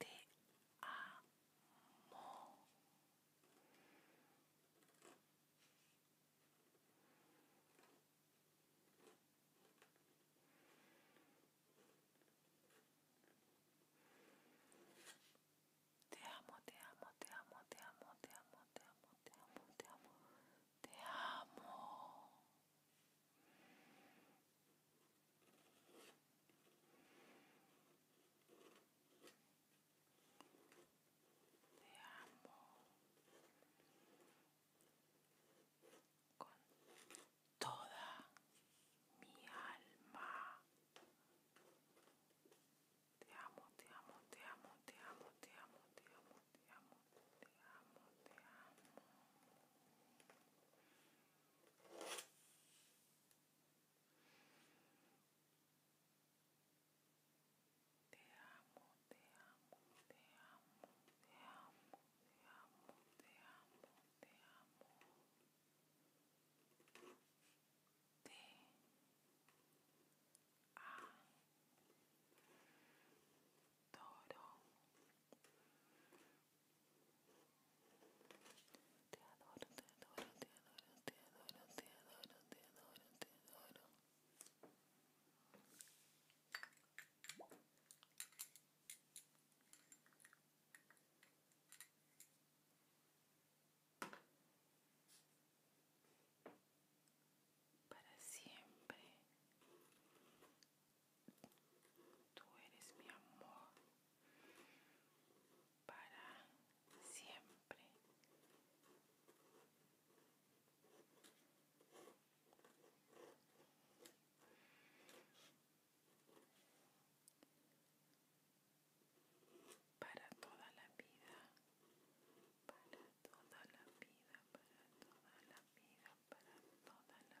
Te amo. Te amo, te amo, te amo, te amo, te amo, te amo, te amo, te amo, te amo con toda mi alma. Te amo, te amo, te amo, te amo, te amo, te amo, te amo, te amo, te amo. Te amo, te amo, te amo, te amo, te amo, te amo, te amo. Te te adoro, te adoro, te adoro, te adoro, te adoro, te adoro, te adoro. Para siempre Tú eres mi amor para siempre. Para toda la vida, para toda la vida, para toda la vida, para toda la vida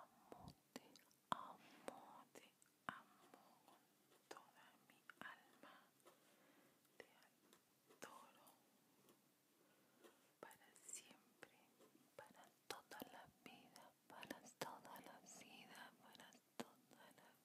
amo, te amo, te amo con toda mi alma. Te adoro para siempre, para toda la vida, para toda la vida, para toda la vida.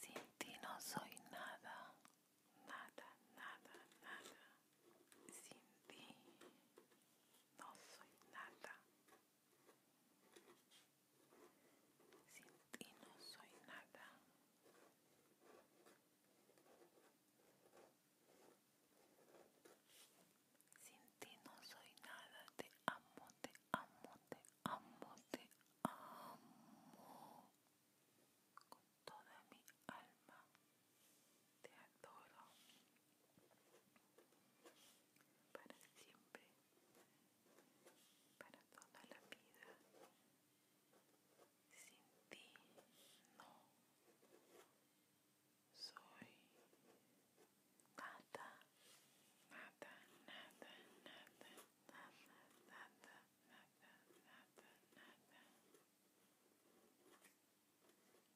Sin ti no soy nada, nada, nada, nada. Sin ti no soy nada. Sin ti no soy nada. Sin ti no soy nada. Te amo, te amo, te amo, te amo. Con toda mi alma. Te adoro para siempre, para toda la vida. Sin ti no soy nada, nada, nada, nada, nada, nada, nada, nada, nada.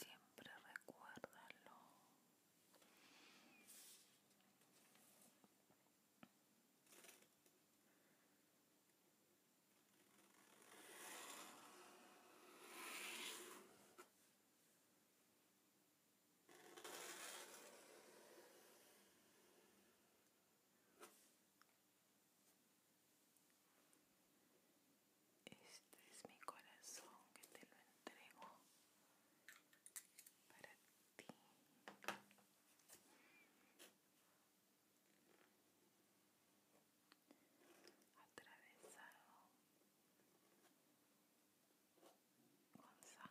siempre recuérdalo. Este es mi corazón que te lo entrego para ti. Atravesado con sangre.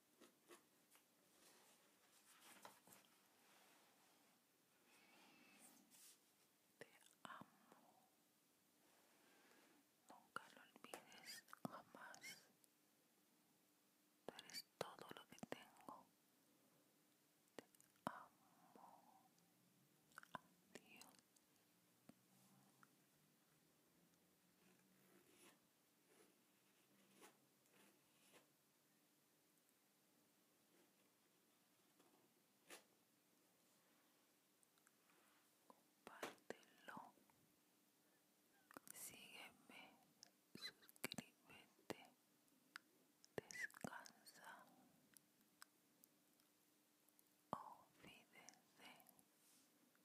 Te amo. Nunca lo olvides, jamás. Tú eres todo lo que tengo. Te amo. Adiós compártelo sígueme suscríbete descansa olvídense oh,